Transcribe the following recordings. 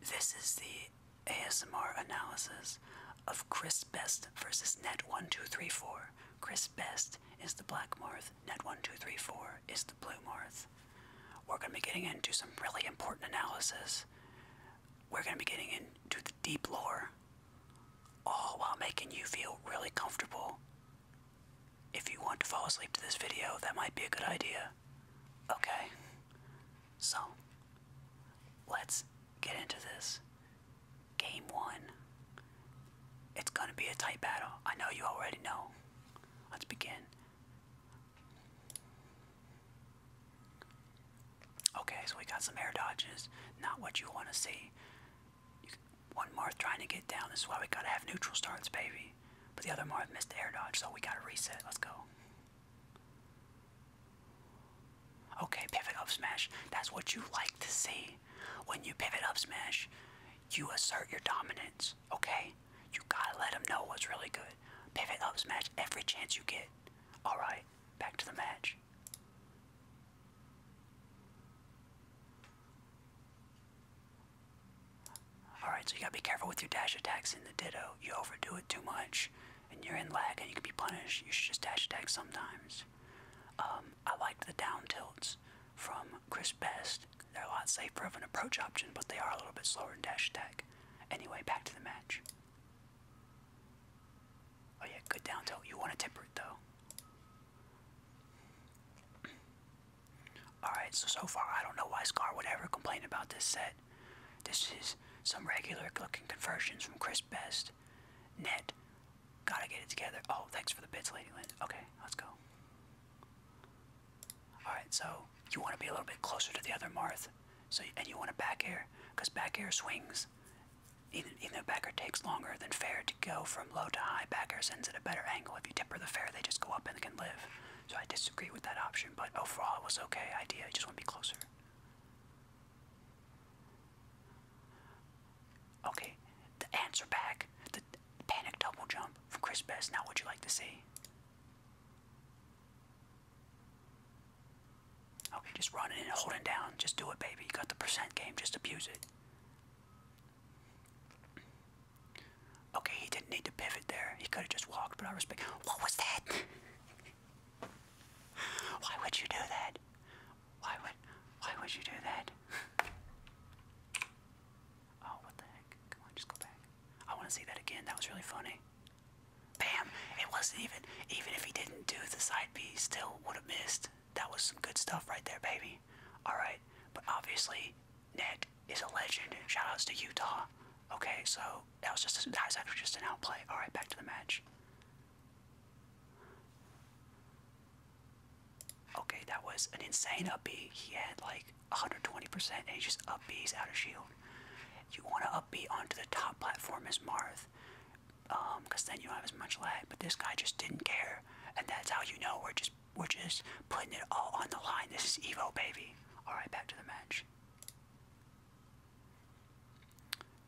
This is the ASMR analysis of Chris Best versus Net1234. Chris Best is the black Marth, Net1234 is the blue Marth. We're going to be getting into some really important analysis. We're going to be getting into the deep lore, all while making you feel really comfortable. If you want to fall asleep to this video, that might be a good idea. Okay. So, let's get into this. Game one. It's gonna be a tight battle. I know you already know. Let's begin. Okay, so we got some air dodges. Not what you wanna see. one Marth trying to get down. This is why we gotta have neutral starts, baby. But the other Marv missed the air dodge, so we gotta reset. Let's go. Okay, pivot up smash. That's what you like to see. When you pivot up smash, you assert your dominance, okay? You gotta let them know what's really good. Pivot up smash every chance you get. Alright, back to the match. Alright, so you gotta be careful with your dash attacks in the ditto. You overdo it too much, and you're in lag and you can be punished. You should just dash attack sometimes. Um, I like the down tilts from Chris Best. They're a lot safer of an approach option, but they are a little bit slower in dash attack. Anyway, back to the match. Oh yeah, good down tilt. You want to tipper it though. Alright, so so far I don't know why Scar would ever complain about this set. This is some regular looking conversions from Chris Best. Ned. gotta get it together. Oh, thanks for the bits, Lady Lynn. Okay, let's go. Alright, so you want to be a little bit closer to the other Marth, so and you want a back air, because back air swings. Even, even though back air takes longer than fair to go from low to high, back air sends at a better angle. If you tip the fair, they just go up and they can live. So I disagree with that option, but overall it was okay idea. I just want to be closer. Okay, the answer back, the panic double jump from Chris Best. Now, would you like to see? Okay, just run and hold down. Just do it, baby. got the percent game. Just abuse it. Okay, he didn't need to pivot there. He could have just walked, but I respect. What was that? why would you do that? Why would why would you do that? oh, what the heck? Come on, just go back. I want to see that again. That was really funny. Bam! It wasn't even even if he didn't do the side B, still would have missed. That was some good stuff right there, baby. All right, but obviously Nick is a legend. Shoutouts to Utah. Okay, so that was just that was actually just an outplay. All right, back to the match. Okay, that was an insane up B. He had like 120%, and he just up B's out of shield. You want to up B onto the top platform as Marth, because um, then you have as much lag. But this guy just didn't care, and that's how you know we're just we're just putting it all on the line. This is Evo, baby. Alright, back to the match.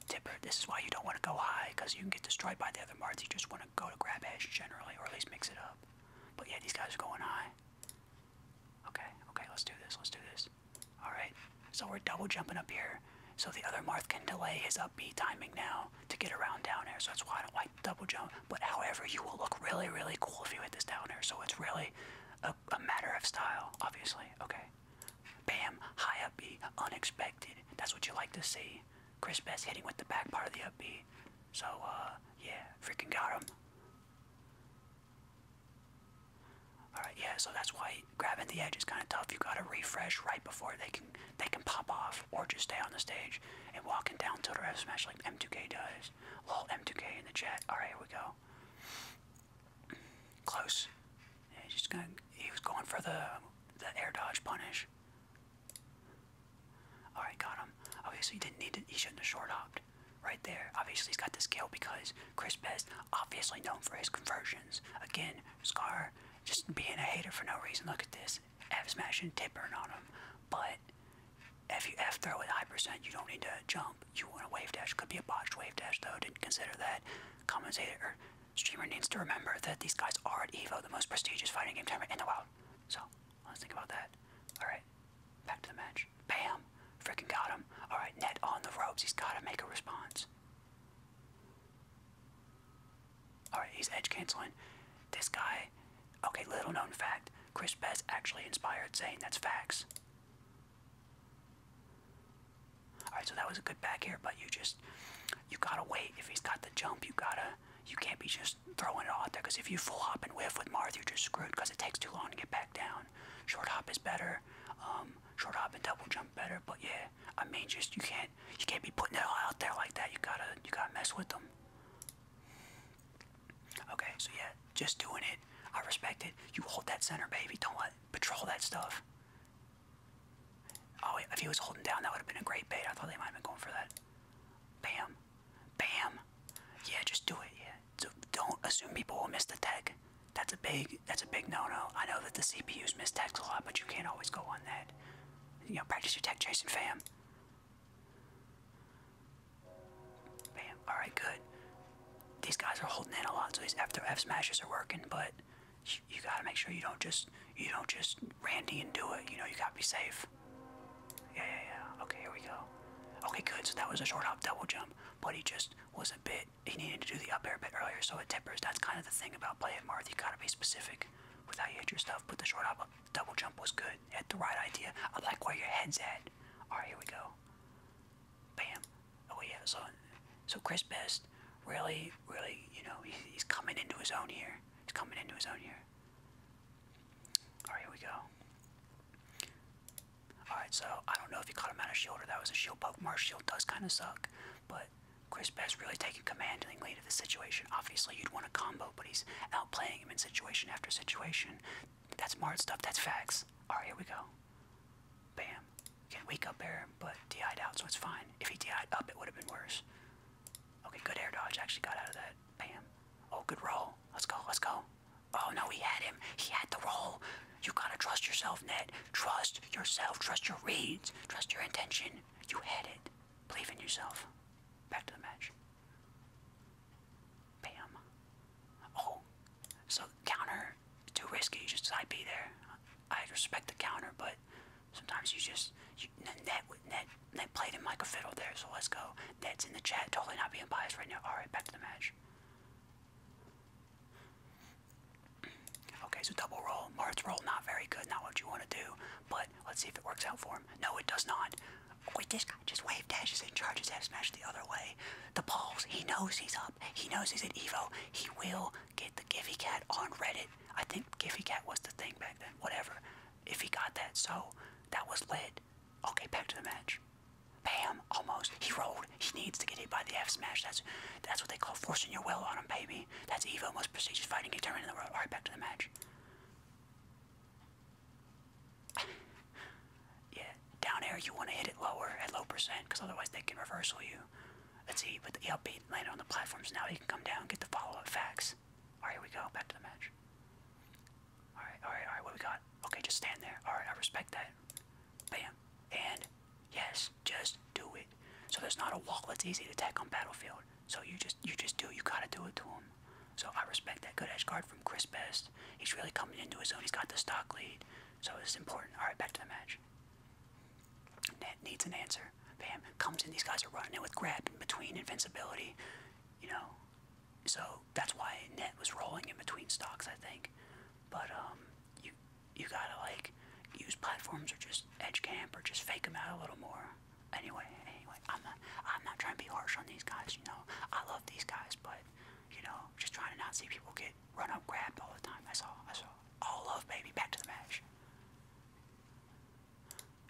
Tipper, this is why you don't want to go high, because you can get destroyed by the other Marth. You just want to go to grab Ash, generally, or at least mix it up. But yeah, these guys are going high. Okay, okay, let's do this, let's do this. Alright, so we're double jumping up here. So the other Marth can delay his up B timing now to get around down here. So that's why I don't like double jump but however, you will look really, really cool if you hit this downer. So it's really a, matter of style, obviously. Okay. Bam, high up B, unexpected. That's what you like to see. Chris Best hitting with the back part of the up B. So, uh, yeah, freaking got him. Alright, yeah, so that's why grabbing the edge is kind of tough. You gotta refresh right before they can they can pop off or just stay on the stage and walking down tilt the F smash like M2K does. Close. Lol M2K in the chat. Alright, here we go. Close. he was going for the the air dodge punish. Alright, got him. Okay, he didn't need to he shouldn't have short hopped. Right there. Obviously he's got the skill because Chris Best, obviously known for his conversions. Again, Scar just being a hater for no reason. Look at this. F smashing tip burn on him. But if you throw at high percent, you don't need to jump. You want a wave dash. Could be a botched wave dash though. Didn't consider that. Commentator streamer needs to remember that these guys are at EVO, the most prestigious fighting game tournament in the world. So let's think about that. All right, back to the match. Bam, freaking got him. All right, net on the ropes. He's got to make a response. All right, he's edge canceling. This guy. Okay, little known fact. Chris Best actually inspired saying that's facts. Alright, so that was a good back here, but you just you gotta wait. If he's got the jump, you gotta you can't be just throwing it all out there because if you full hop and whiff with Marth, you're just screwed because it takes too long to get back down. Short hop is better. Um, short hop and double jump better, but yeah, I mean, just you can't you can't be putting it all out there like that. You gotta you gotta mess with them. Okay, so yeah, just doing it. I respect it. You hold that center, baby. Don't let patrol that stuff. Oh, if he was holding down, that would have been a great bait. I thought they might have been going for that. Bam. Bam. Yeah, just do it. Yeah. So don't assume people will miss the tech. That's a big that's a big no-no. I know that the CPUs miss techs a lot, but you can't always go on that. You know, practice your tech Jason. fam. Bam. Alright, good. These guys are holding in a lot, so these F to F smashes are working, but you, gotta make sure you don't just you don't just Randy and do it. You know, you gotta be safe. Yeah, yeah, yeah. Okay, here we go. Okay, good. So that was a short hop double jump, but he just was a bit. He needed to do the up air bit earlier, so it tempers. That's kind of the thing about playing Marth. You gotta be specific with how you hit your stuff. Put the short hop Double jump was good. You had the right idea. I like where your head's at. Alright, here we go. Bam. Oh, yeah. So, so Chris Best really, really, you know, he's, coming into his own here. He's coming into his own here. Alright, here we go. Alright, so I don't know if you caught him out of shield or that was a shield poke. Marsh shield does kind of suck, but Chris Best really taking commanding lead of the situation. Obviously, you'd want a combo, but he's outplaying him in situation after situation. That's smart stuff. That's facts. All right, here we go. Bam. Can not wake up air, but died out, so it's fine. If he died up, it would have been worse. Okay, good air dodge. Actually got out of that. Bam. Oh, good roll. Let's go. Let's go. Oh, no, he had him. He had the roll. You gotta trust yourself, Ned. Trust yourself. Trust your reads. Trust your intention. You had it. Believe in yourself. Back to the match. Bam. Oh, so counter, too risky. You I'd be there. I would respect the counter, but sometimes you just you, net net net played him like a fiddle there. So let's go. That's in the chat. Totally not being biased right now. All right, back to the match. Okay, so double roll. Mart's roll, not very good, not what you want to do, but let's see if it works out for him. No, it does not. Wait, this just wave dashes and charges F smash the other way. The balls, he knows he's up. He knows he's at Evo. He will get the Gifty Cat on Reddit. I think Gifty Cat was the thing back then. Whatever. If he got that, so that was lit. Okay, back to the match. Bam! Almost. He rolled. He needs to get hit by the F smash. That's that's what they call forcing your will on him, baby. That's Evo most prestigious fighting tournament in the world. Alright, back to the match. yeah, down air you want to hit it lower at low percent because otherwise they can reversal you. Let's see, with the upbeat landing on the platforms now, he can come down get the follow-up facts. Alright, we go, back to the match. Alright, alright, alright, what we got? Okay, just stand there. Alright, I respect that. Bam. And, yes, just do it. So there's not a wall that's easy to take on Battlefield. So you just, you just do, you gotta do it to him. So I respect that good edge guard from Chris Best. He's really coming into his own. He's got the stock lead. So it's important. All right, back to the match. Net needs an answer. Bam. Comes in. These guys are running it with grab in between invincibility. You know. So that's why Net was rolling in between stocks, I think. But um, you you gotta like use platforms or just edge camp or just fake them out a little more. Anyway, anyway, I'm not, I'm not trying to be harsh on these guys. You know, I love these guys, but you know, just trying to not see people get run up, grabbed all the time. I saw, I saw. All love, baby. Back to the match.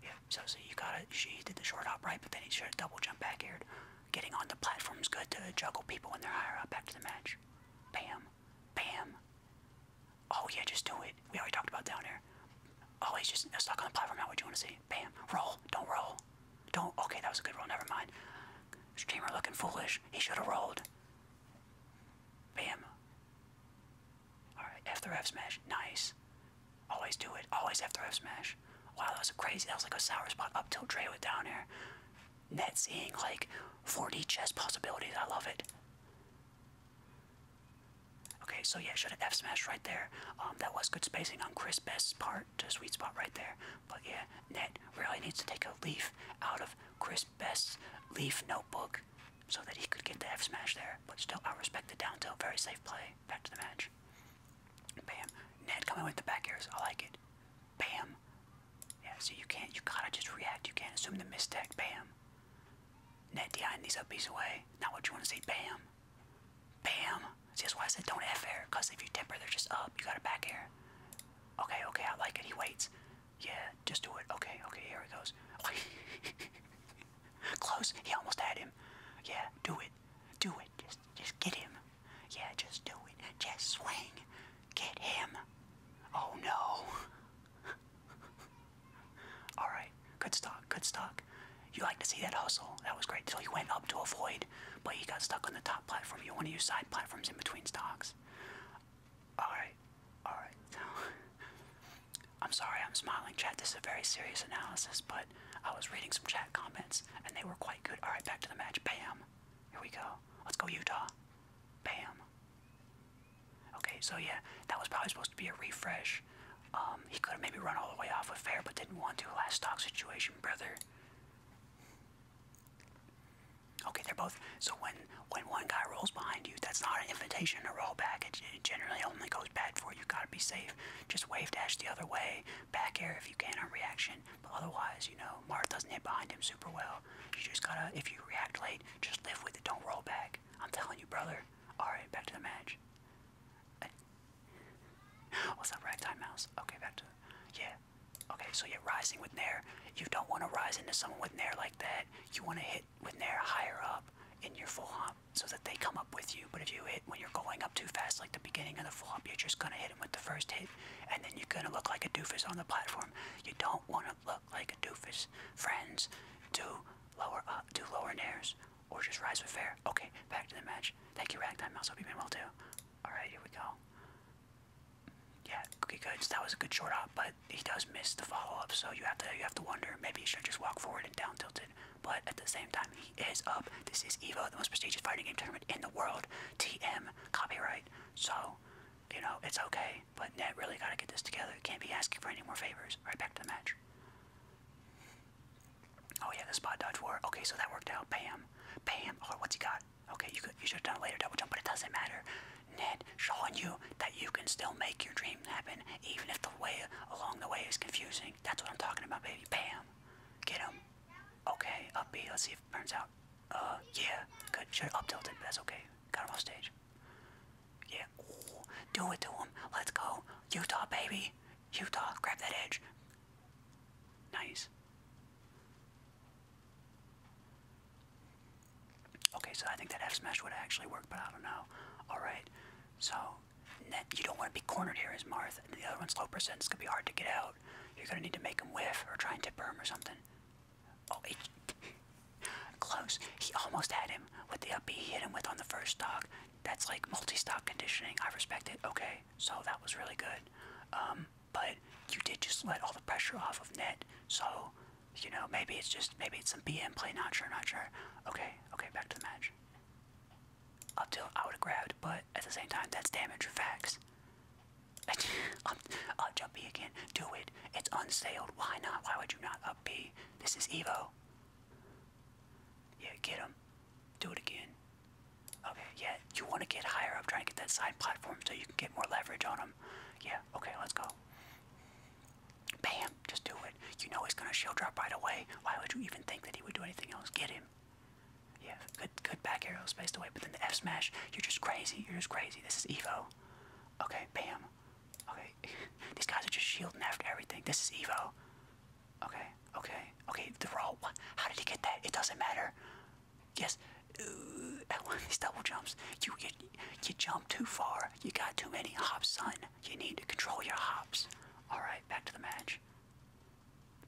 Yeah. So, so you got it. She did the short hop right, but then he should double jump back aired. Getting on the platform is good to juggle people when they're higher up. Back to the match. Bam, bam. Oh yeah, just do it. We already talked about down here. Oh, he's just stuck on the platform. Not what you want to see. Bam. Roll. Don't roll. Don't. Okay, that was a good roll. Never mind. Streamer looking foolish. He should have rolled. Bam. Alright, F3 F smash. Nice. Always do it. Always F3 F smash. Wow, that was crazy. That was like a sour spot up till Dre with down there. Net seeing like 4D chess possibilities. I love it. Okay, so yeah, should have F smash right there. Um, that was good spacing on Chris Best's part, to sweet spot right there. But yeah, Ned really needs to take a leaf out of Chris Best's leaf notebook so that he could get the F smash there. But still, I respect the down tilt. Very safe play. Back to the match. Bam. Ned coming with the back airs. I like it. Bam. Yeah, so you can't, you gotta just react. You can't assume the mistake. Bam. Net behind these up away. Not what you want to see. Bam. Bam. See, that's why I said don't F air, because if you temper, they're just up. You got to back air. Okay, okay, I like it. He waits. Yeah, just do it. Okay, okay, here he goes. Close. He almost had him. Yeah, do it. Do it. Just, just get him. Yeah, just do it. Just swing. Get him. Oh no. All right. Good stock, good stock. You like to see that hustle. That was great. Till you went up to avoid, but you got stuck on the top platform. You want to use side platforms in between stocks. Alright, alright. I'm sorry I'm smiling, chat. This is a very serious analysis, but I was reading some chat comments and they were quite good. Alright, back to the match. Bam. Here we go. Let's go, Utah. Bam. Okay, so yeah, that was probably supposed to be a refresh um, he could have maybe run all the way off with fair, but didn't want to. Last stock situation, brother. Okay, they're both. So when when one guy rolls behind you, that's not an invitation to roll back. It, it generally only goes bad for you. Gotta be safe. Just wave dash the other way, back air if you can on reaction. But otherwise, you know, Marth doesn't hit behind him super well. You just gotta, if you react late, just live with it. Don't roll back. I'm telling you, brother. All right, back to the match. What's that ragtime mouse? Okay, back to yeah. Okay, so you're rising with Nair. You don't want to rise into someone with Nair like that. You want to hit with Nair higher up in your full hump so that they come up with you. But if you hit when you're going up too fast, like the beginning of the full hop, you're just gonna hit them with the first hit, and then you're gonna look like a doofus on the platform. You don't want to look like a doofus. Friends, do lower up, do lower Nairs or just rise with fair. Okay, back to the match. Thank you, Ragtime Mouse. Hope you've been well too. Alright, here we go. Yeah, Cookie Goods, that was a good short hop, but he does miss the follow-up, so you have to you have to wonder, maybe he should just walk forward and down tilted. But at the same time, he is up. This is EVO, the most prestigious fighting game tournament in the world. TM, copyright. So, you know, it's okay. But Net really gotta get this together. Can't be asking for any more favors. Right back to the match. Oh yeah, the spot dodge worked. Okay, so that worked out. Bam, bam. Or oh, what's he got? Okay, you could you should have done a later double jump, but it doesn't matter. Ned showing you that you can still make your dream happen, even if the way along the way is confusing. That's what I'm talking about, baby. Bam, get him. Okay, up B. Let's see if it burns out. Uh, yeah, good. Should up tilted, but that's okay. Got him off stage. Yeah, do it to him. Let's go, Utah, baby. Utah, grab that edge. Nice. Okay, so I think that F smash would actually work, but I don't know. Alright, so you don't want to be cornered here as Marth. The other one's low percent, it's going to be hard to get out. You're going to need to make him whiff or try and tip him erm or something. Oh, close. He almost had him with the up B he hit him with on the first dog that's like multi-stop conditioning. I respect it. Okay, so that was really good. Um, but you did just let all the pressure off of net. So, you know, maybe it's just maybe it's some BM play. Not sure. Not sure. Okay. Okay. Back to the match. Up till I would have grabbed, but at the same time, that's damage or facts. up, up, jump B again. Do it. It's unsailed. Why not? Why would you not up B? This is Evo. Yeah, get him. Do it again. Okay, yeah, you want to get higher up, trying to get that side platform so you can get more leverage on him. Yeah, okay, let's go. Bam, just do it. You know he's gonna shield drop right away. Why would you even think that he would do anything else? Get him. Yeah, good good back arrow spaced away, but then the F smash, you're just crazy, you're just crazy. This is Evo. Okay, bam. Okay. These guys are just shielding after everything. This is Evo. Okay, okay, okay. The rope. How did he get that? It doesn't matter. Yes. Uh, at these double jumps, you you, you jump too far. You got too many hops, son. You need to control your hops. All right, back to the match.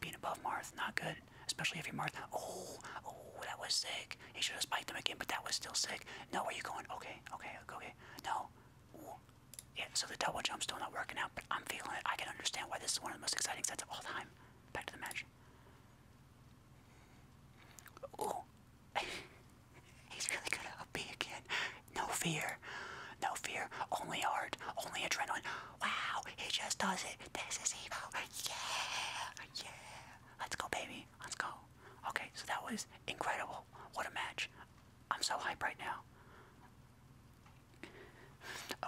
Being above Marth, not good, especially if you're Marth. Oh, oh, that was sick. He should have spiked him again, but that was still sick. No, where you going? Okay, okay, okay. No. Yeah, so the double jump's still not working out, but I'm feeling it. I can understand why this is one of the most exciting sets of all time. Back to the match. Ooh. He's really good at up B again. No fear. No fear. Only heart. Only adrenaline. Wow, he just does it. This is evil. Yeah. Yeah. Let's go, baby. Let's go. Okay, so that was incredible. What a match. I'm so hyped right now.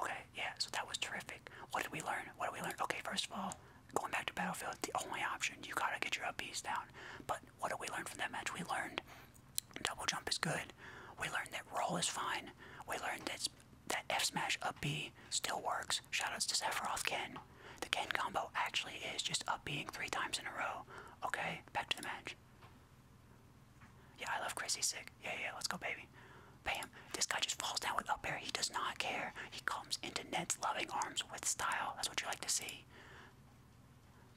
Okay, yeah, so that was terrific. What did we learn? What did we learn? Okay, first of all, going back to Battlefield, the only option, you gotta get your upbeats down. But what did we learn from that match? We learned double jump is good. We learned that roll is fine. We learned that that F smash up B still works. Shoutouts to Sephiroth Ken. The Ken combo actually is just up being three times in a row. Okay, back to the match. Yeah, I love Chrissy sick. Yeah, yeah, let's go, baby. Bam. This guy just falls down without up air. He does not care. He comes into Ned's loving arms with style. That's what you like to see.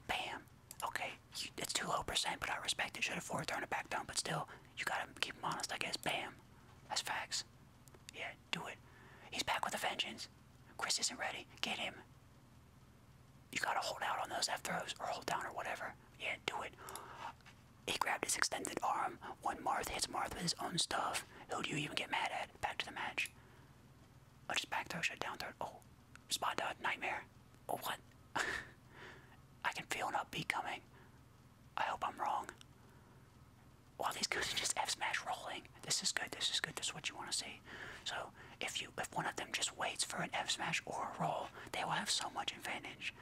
Bam. Okay, it's too low percent, but I respect it. Should have forward thrown it back down, but still, you gotta keep him honest, I guess. Bam. That's facts. Yeah, do it. He's back with a vengeance. Chris isn't ready. Get him you gotta hold out on those F throws or hold down or whatever. Yeah, do it. He grabbed his extended arm. When Marth hits Marth with his own stuff, who do you even get mad at? Back to the match. Oh, just back throw, shut down throw. Oh, spot dot, nightmare. Oh, what? I can feel an upbeat coming. I hope I'm wrong. While these guys are just F smash rolling. This is good, this is good, this is what you want to see. So if you if one of them just waits for an F smash or a roll, they will have so much advantage.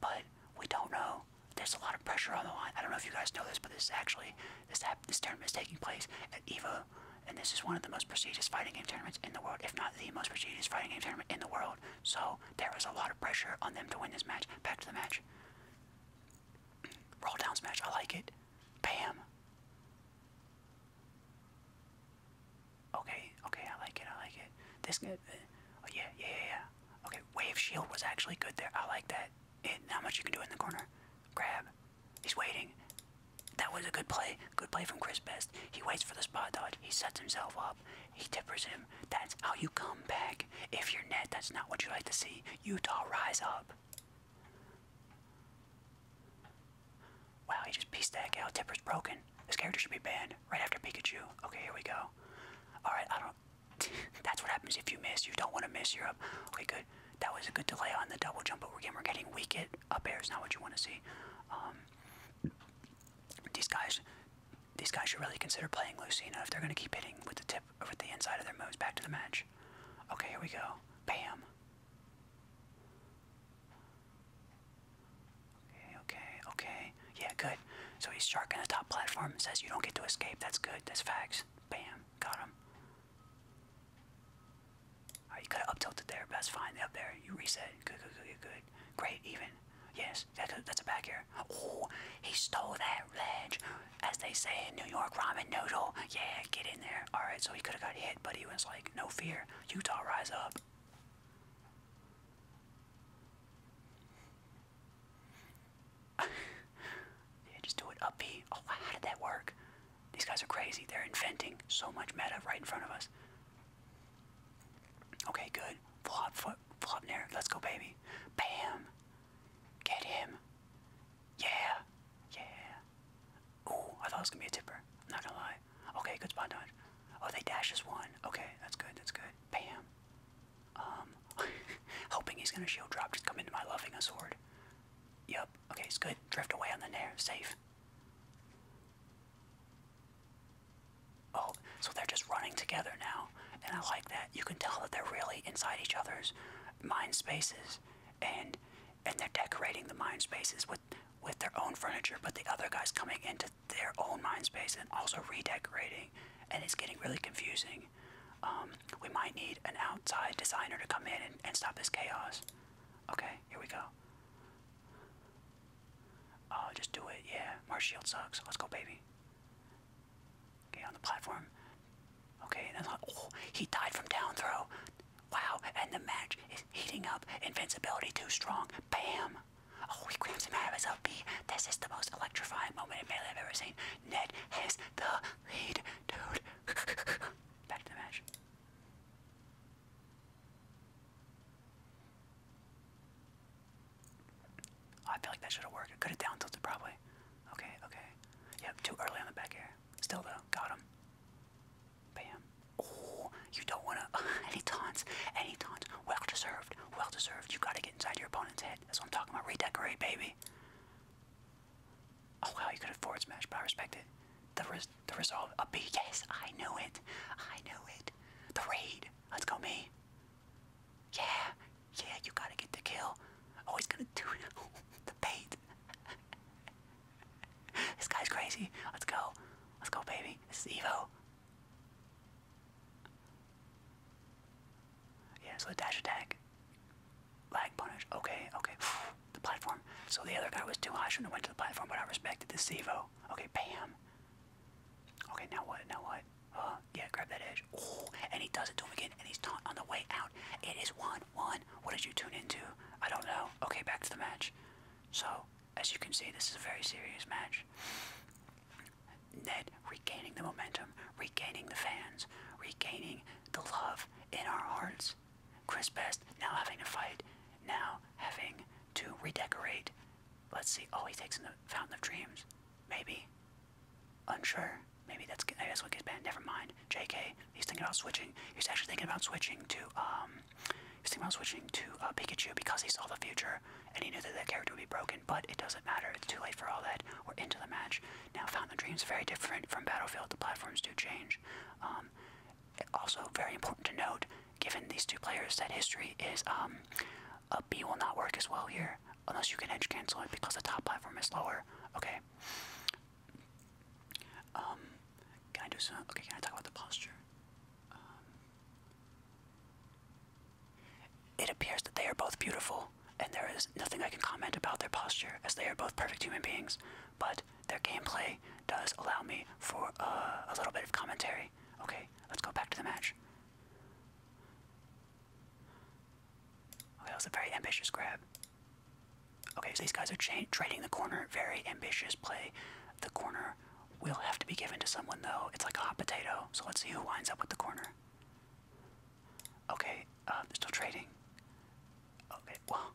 But we don't know. There's a lot of pressure on the line. I don't know if you guys know this, but this actually this this tournament is taking place at EVO, and this is one of the most prestigious fighting game tournaments in the world, if not the most prestigious fighting game tournament in the world. So there is a lot of pressure on them to win this match. Back to the match. Roll down smash. I like it. Bam. Okay, okay, I like it, I like it. This good. Uh, oh, yeah, yeah, yeah, Okay, wave shield was actually good there. I like that. And how much you can do in the corner. Grab. He's waiting. That was a good play. Good play from Chris Best. He waits for the spot dodge. He sets himself up. He tippers him. That's how you come back. If you're net, that's not what you like to see. Utah, rise up. Wow, he just pieced that out. Tipper's broken. This character should be banned right after Pikachu. Okay, here we go. Alright, I don't... That's what happens if you miss. You don't want to miss. You're up. Okay, good. That was a good delay on the double jump But again, We're getting weak at up air. not what you want to see. Um, these guys... These guys should really consider playing Lucina if they're going to keep hitting with the tip, with the inside of their moves back to the match. Okay, here we go. Bam. Okay, okay, okay. Yeah, good. So he's sharking the top platform and says you don't get to escape. That's good. That's facts. Bam. Got him. Alright, you could have up tilted there, but that's fine. Up there. You reset. Good, good, good, good, good. Great, even. Yes, Good. that's a back air. Oh, he stole that ledge. As they say in New York, ramen noodle. Yeah, get in there. Alright, so he could have got hit, but he was like, no fear. Utah, rise up. yeah, just do it up B. Oh, how did that work? These guys are crazy. They're inventing so much meta right in front of us. Okay, good. Flop, flop, flop, there. Let's go, baby. Bam. Get him. Yeah. Yeah. Oh, I thought it was gonna be a tipper. I'm not gonna lie. Okay, good spot dodge. Oh, they dash as one. Okay, that's good. That's good. Bam. Um, hoping he's gonna shield drop. Just come into my loving a sword. Yep. Okay, it's good. Drift away on the nair. Safe. Oh, so they're just running together now, and I like that. You can tell that they're really inside each other's mind spaces, and and they're decorating the mind spaces with with their own furniture, but the other guy's coming into their own mind space and also redecorating, and it's getting really confusing. Um, we might need an outside designer to come in and, stop this chaos. Okay, here we go. Oh, just do it. Yeah, Marsh Shield sucks. Let's go, baby. Okay, on the platform. Okay, and then, oh, he died from down throw. Wow, and the match is heating up. Invincibility too strong. Bam! Oh, he grabs him arms of his This is the most electrifying moment in Melee I've ever seen. Ned has the lead, dude. Back to the match. Oh, I feel like that should have worked. It could have down tilted probably. Okay, okay. Yep, too early on the back air. Still though, got him. Bam. Oh, you don't want to. Any taunts. Any taunts. Well deserved. Well deserved. You got to get inside your opponent's head. That's what I'm talking about. Redecorate, baby. Oh, well, You could afford smash, but I respect it. The, res the resolve. A B. Yes, I knew it. I knew it. The raid. Let's go, me. Yeah. Yeah, you got to get the kill. Oh, he's going to do it. the bait. this guy's crazy. Let's go. Let's go, baby. This is Evo. Yeah, so the dash attack. Lag punish. Okay, okay. the platform. So the other guy was too high. I went to the platform, but I respected this Evo. Okay, bam. Okay, now what? Now what? Uh, yeah, grab that edge. Oh, and he does it to him again, and he's taunt on the way out. It is one, What did you tune into? I don't know. Okay, back to the match. So, as you can see, this is a very serious match. Ned regaining the momentum, regaining the fans, regaining the love in our hearts. Chris Best now having to fight, now having to redecorate. Let's see. Oh, he takes in the Fountain of Dreams. Maybe. Unsure. Maybe that's maybe that's what gets banned. Never mind. J.K. He's thinking about switching. He's actually thinking about switching to um, he's thinking about switching to uh, Pikachu because he saw the future and he knew that that character would be broken. But it doesn't matter. It's too late for all that. We're into the match now. Found the Dreams very different from Battlefield. The platforms do change. Um, also, very important to note, given these two players, that history is um, a B will not work as well here unless you can edge cancel it because the top platform is lower. Okay. Can I do some? Okay, can I talk about the posture? Um, it appears that they are both beautiful, and there is nothing I can comment about their posture, as they are both perfect human beings. But their gameplay does allow me for uh, a little bit of commentary. Okay, let's go back to the match. that was a very ambitious grab. Okay, so these guys are trading the corner. Very ambitious play. The corner will have to be given to someone, though. It's like a hot potato. So let's see who winds up with the corner. Okay, uh, still trading. Okay, well,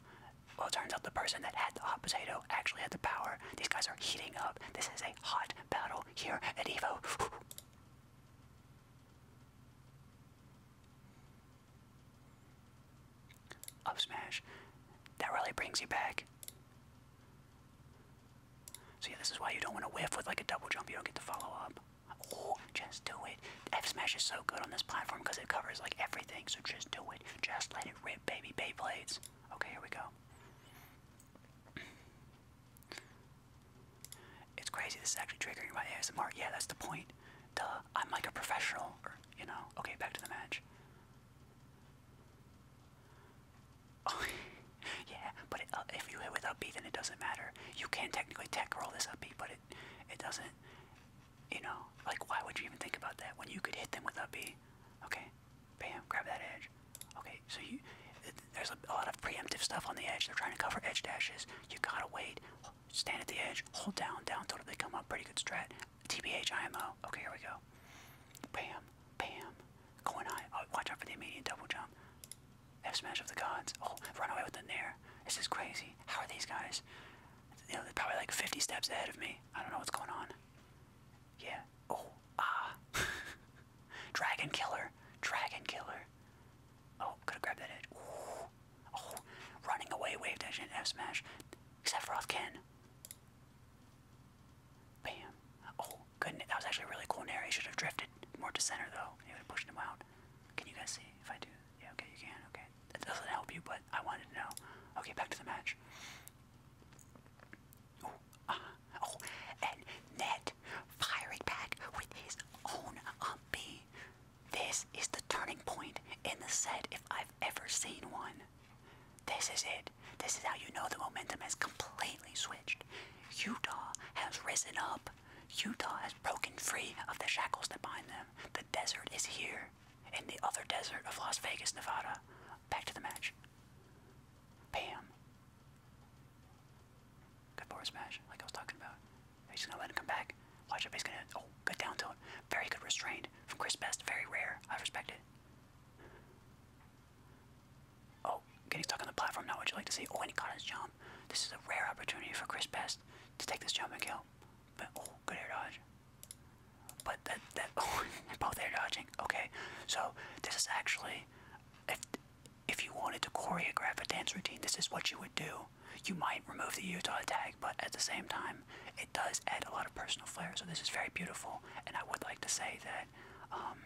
well, it turns out the person that had the hot potato actually had the power. These guys are heating up. This is a hot battle here at Evo. Up smash. That really brings you back. So yeah, this is why you don't want to whiff with like a double jump. You don't get the follow up. Oh, just do it. F smash is so good on this platform because it covers like everything. So just do it. Just let it rip, baby. blades. Okay, here we go. It's crazy. This is actually triggering my ASMR. Yeah, that's the point. Duh. I'm like a professional you know? Okay, back to the match. Oh, yeah, but it, uh, if you hit with upbeat, then it doesn't matter. You can technically tech roll this upbeat, but it it doesn't. You know, like why would you even think about that when you could hit them without upbeat? Okay, bam, grab that edge. Okay, so you there's a lot of preemptive stuff on the edge. They're trying to cover edge dashes. You gotta wait, stand at the edge, hold down, down Totally come up. Pretty good strat. TBH, IMO. Okay, here we go. Bam, bam. Going high. Oh, watch out for the immediate double jump. F smash of the gods. Oh, run away with the nair. This is crazy. How are these guys? they're probably like 50 steps ahead of me. I don't know what's going on. Yeah. Oh, ah. Dragon killer. Dragon killer. Oh, could have grabbed that edge. Oh, running away, wave dash, and F smash. Sephiroth can. Bam. Oh, goodness, that was actually really cool nair. He should have drifted more to center, though. He would have pushed him out. Can you guys see if I do? Yeah, okay, you can. Okay. That doesn't help you, but I wanted to know. Okay, back to the match. Oh, uh, oh, and Ned firing back with his own up this is the turning point in the set if I've ever seen one. This is it. This is how you know the momentum has completely switched. Utah has risen up. Utah has broken free of the shackles that bind them. The desert is here, in the other desert of Las Vegas, Nevada. Back to the match. Bam. Good board smash, like I was talking about. He's just gonna let him come back. Watch up, he's gonna. Oh, good down tilt. Very good restraint from Chris Best. Very rare. I respect it. Oh, getting stuck on the platform. now. what you like to see. Oh, and he caught his jump. This is a rare opportunity for Chris Best to take this jump and kill. But oh, good air dodge. But that that oh, both air dodging. Okay, so this is actually if if you wanted to choreograph a dance routine, this is what you would do you might remove the Utah tag, but at the same time, it does add a lot of personal flair. So this is very beautiful, and I would like to say that um,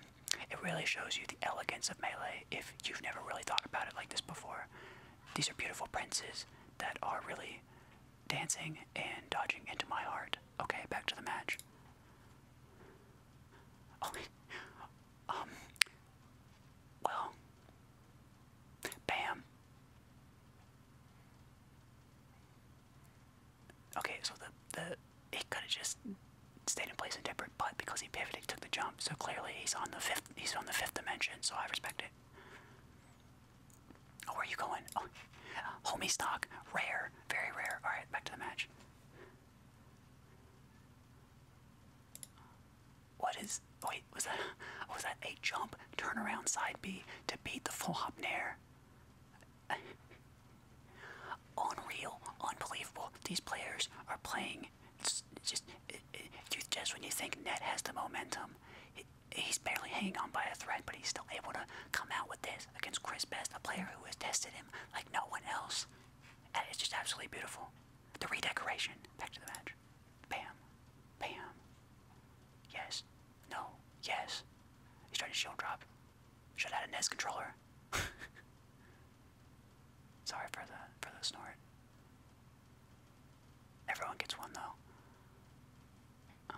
it really shows you the elegance of melee. If you've never really thought about it like this before, these are beautiful princes that are really dancing and dodging into my heart. Okay, back to the match. Oh, um, well, bam. Okay, so the the he could have just stayed in place and tempered, but because he pivoted, took the jump. So clearly, he's on the fifth. He's on the fifth dimension. So I respect it. Oh, where are you going? Oh, homie stock, rare, very rare. All right, back to the match. What is? Wait, was that? Was that a jump turnaround side B to beat the full hop nair? Unreal, unbelievable. These players are playing. It's just, just when you think net has the momentum, he's barely hanging on by a thread, but he's still able to come out with this against Chris Best, a player who has tested him like no one else. And it's just absolutely beautiful. The redecoration. Back to the match. Bam. Bam. Yes. No. Yes. He's trying to shield drop. Should have a NES controller. Sorry for the for the snort. Everyone gets one though. Uh,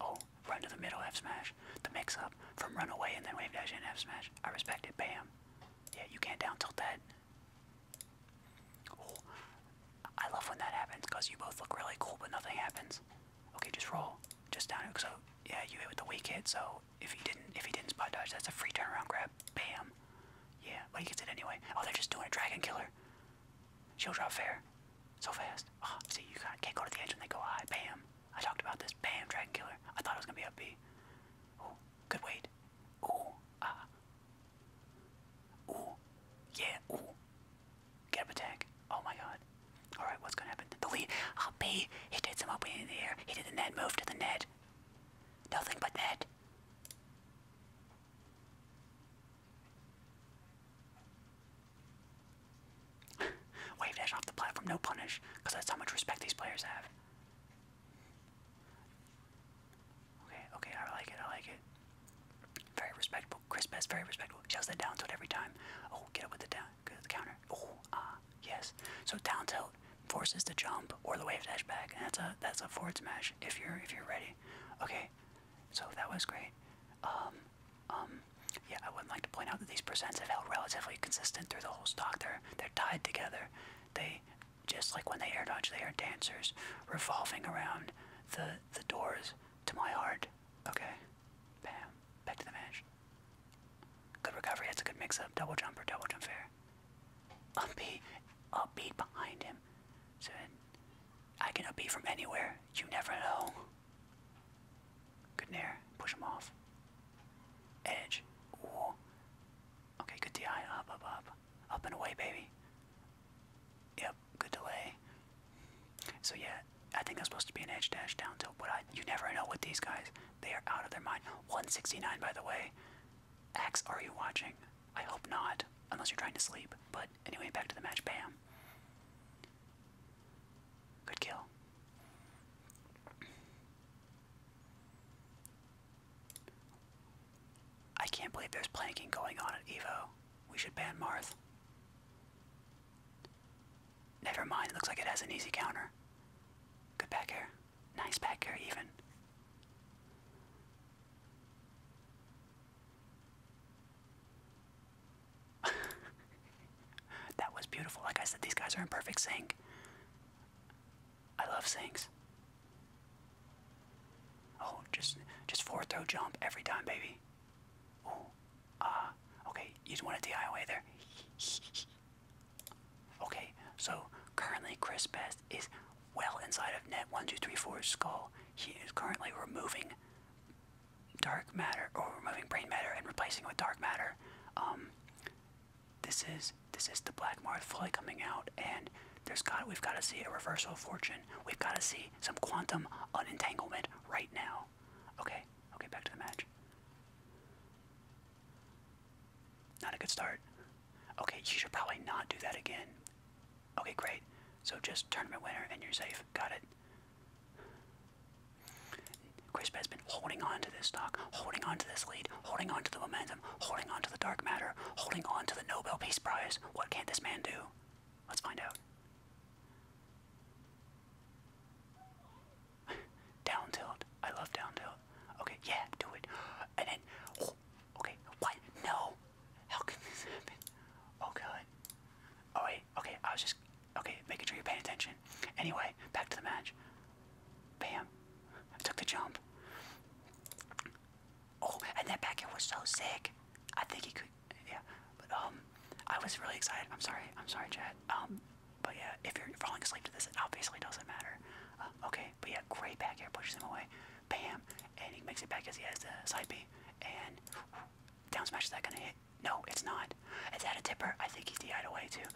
oh, run to the middle F smash. The mix up from run away and then wave dash and F smash. I respect it. Bam. Yeah, you can't down tilt that. I love when that happens because you both look really cool, but nothing happens. Okay, just roll, just down. So yeah, you hit with the weak hit. So if he didn't, if he didn't spot dodge, that's a free turnaround grab. Bam. Yeah, but he gets it anyway. Oh, they're just doing a dragon killer. She'll drop fair, so fast. Oh, see, you can't go to the edge when they go high. Bam. I talked about this. Bam, dragon killer. I thought it was gonna be a B. Oh, good wait. Oh, ah, Ooh. Yeah. Ooh. Get up attack. Oh my god. Alright, what's gonna happen? The lead. Oh, be He did some opening in the air. He did the net move to the net. Nothing but net. Wave dash off the platform, no punish, because that's how much respect these players have. Okay, okay, I like it, I like it. Very respectable. Chris Best, very respectable. Shells that down tilt every time. Oh, get up with the down, get up the counter. Oh, ah, yes. So down tilt forces the jump or the wave dash back, that's a that's a forward smash if you're if you're ready. Okay, so that was great. Um, um, yeah, I would like to point out that these presents have held relatively consistent through the whole stock. They're they're tied together. They just like when they air dodge, they are dancers, revolving around the the doors to my heart. Okay, bam, back to the match. Good recovery. That's a good mix-up. Double jumper, double jump fair. Upbeat, upbeat behind him. So I can upbeat from anywhere. You never know. Good nair. Push him off. Edge. Ooh. Okay, good DI. Up, up, up. Up and away, baby. Yep, good delay. So yeah, I think I'm supposed to be an edge dash down tilt, but I, you never know with these guys. They are out of their mind. 169, by the way. X, are you watching? I hope not, unless you're trying to sleep. But anyway, back to the match. Bam. Good kill. I can't believe there's planking going on at Evo. We should ban Marth. Never mind, looks like it has an easy counter. Good back air. Nice back air, even. that was beautiful. Like I said, these guys are in perfect sync. I love Sings. Oh, just just forward throw jump every time, baby. Oh, uh, okay, you just want to DI away there. okay, so currently Chris Best is well inside of net 1234's skull. He is currently removing dark matter, or removing brain matter and replacing it with dark matter. Um, this is this is the Blackmore fully coming out, and there's got we've got to see a reversal of fortune. We've got to see some quantum unentanglement right now. Okay, okay, back to the match. Not a good start. Okay, you should probably not do that again. Okay, great. So just tournament winner and you're safe. Got it. Crisp has been holding on to this stock, holding on to this lead, holding on to the momentum, holding on to the dark matter, holding on to the Nobel Peace Prize. What can't this man do? Let's find out. down tilt. I love down tilt. Okay, yeah, do it. And then, okay, what? No. How can this happen? Oh god. Oh wait, okay, I was just, okay, making sure you're paying attention. Anyway, back to the match. Bam. I took the jump. Oh, and that backhand was so sick. I think he could, yeah. But um, I was really excited. I'm sorry. I'm sorry, Chad. Um, but yeah, if you're falling asleep to this, it obviously doesn't matter. Uh, okay, but yeah, great backhand pushes him away. Bam, and he makes it back as he has the side B. And down smash is that gonna hit? No, it's not. Is that a tipper? I think he's DI'd away too.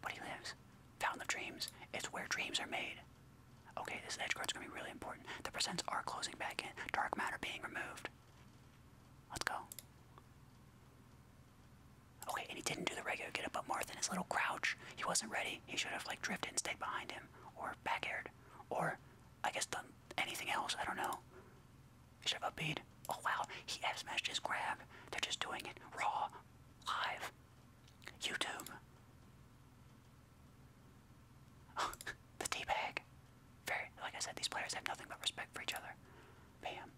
But he lives. Fountain of Dreams. It's where dreams are made. Okay, this edge is gonna be really important. The presents are closing back in. Dark matter being removed. Let's go. Okay, and he didn't do the regular get up, but Marth in his little crouch. He wasn't ready. He should have like drifted and stayed behind him, or back aired, or I guess done anything else. I don't know. Should have a bead. Oh wow, he F smashed his grab. They're just doing it raw, live. YouTube. the tea bag. Very, like I said, these players have nothing but respect for each other. Bam.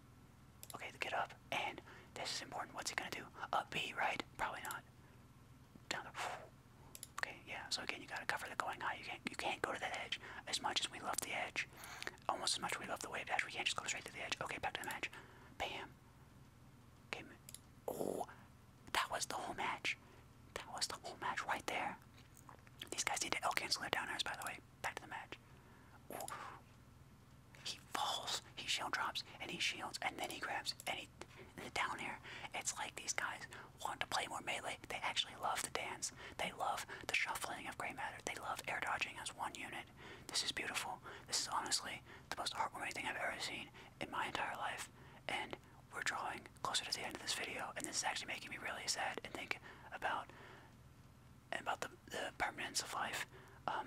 Okay, the get up. And this is important. What's he gonna do? A B, right? Probably not. Down the. Okay, yeah. So again, you gotta cover the going high. You can't, you can't go to the edge as much as we love the edge. Almost as much we love the wave dash. We can't just go straight to the edge. Okay, back to the match. Bam. Okay. Oh, that was the whole match. That was the whole match right there. These guys need to L cancel their down by the way. Back to the match. Oh, He falls. He shield drops, and he shields, and then he grabs, and he the down air. It's like these guys want to play more melee. They actually love the dance. They love the shuffling of gray matter. They love air dodging as one unit. This is beautiful. This is honestly the most heartwarming thing I've ever seen in my entire life. And we're drawing closer to the end of this video, and this is actually making me really sad and think about about the, permanence of life. Um,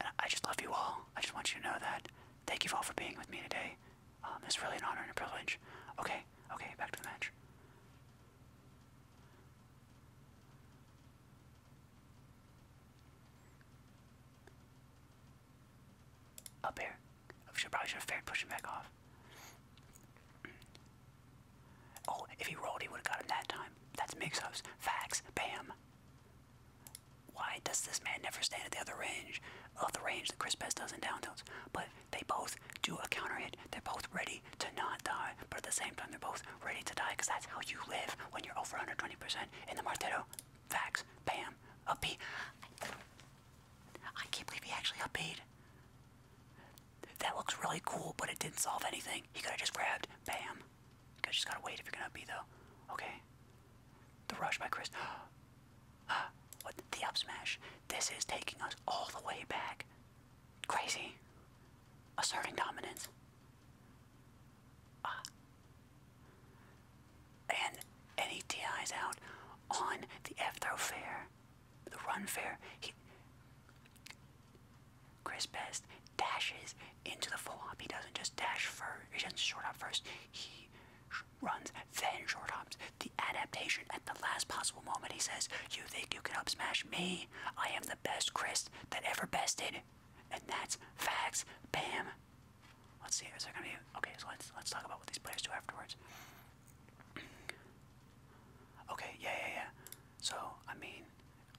and I just love you all. I just want you to know that. Thank you all for being with me today. Um, it's really an honor and a privilege. Okay, okay, back to the match. Up here. I should probably should have fair pushed him back off. Oh, if he rolled, he would have got him that time. That's mix-ups. Facts. Bam. Why does this man never stand at the other range of the range that Chris Best does in down But they both do a counter hit. They're both ready to not die, but at the same time, they're both ready to die because that's how you live when you're over 120% in the Martetto. Facts. Bam. Upbeat. I can't believe he actually upbeat. That looks really cool, but it didn't solve anything. He could have just grabbed. Bam. You guys just gotta wait if you're gonna upbeat, though. Okay. The rush by Chris. what? The up smash. This is taking us all the way back Crazy. Asserting dominance. Ah. and any TIs out on the F throw fair, the run fair, he, Chris Best dashes into the full hop. He doesn't just dash first, he doesn't short hop first. He runs, then short hops, the adaptation at the last possible moment. He says, You think you can up smash me? I am the best Chris that ever bested. And that's facts. Bam. Let's see, is there gonna be okay, so let's let's talk about what these players do afterwards. okay, yeah, yeah, yeah. So, I mean,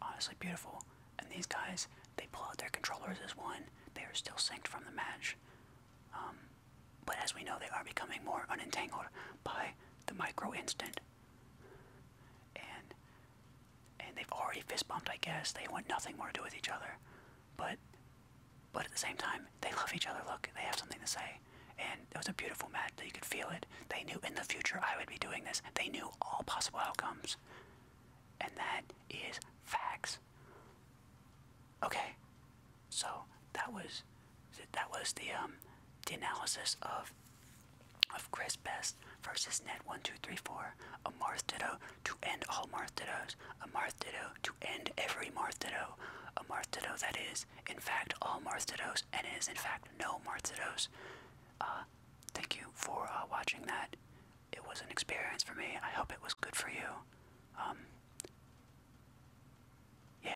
honestly beautiful. And these guys, they pull out their controllers as one. They are still synced from the match. Um, but as we know, they are becoming more unentangled by the micro instant. And and they've already fist bumped, I guess. They want nothing more to do with each other. But but at the same time, they love each other. Look, they have something to say. And it was a beautiful match that you could feel it. They knew in the future I would be doing this. They knew all possible outcomes. And that is facts. Okay, so that was that was the um, the analysis of of Chris Best versus Ned one two three four a Marth Ditto to end all Marth dittoes a Marth Ditto to end every Marth Ditto a Marth Ditto that is in fact all Marth Dittos and is in fact no Marth Dittos. Uh, thank you for uh, watching that. It was an experience for me. I hope it was good for you. Um, yeah,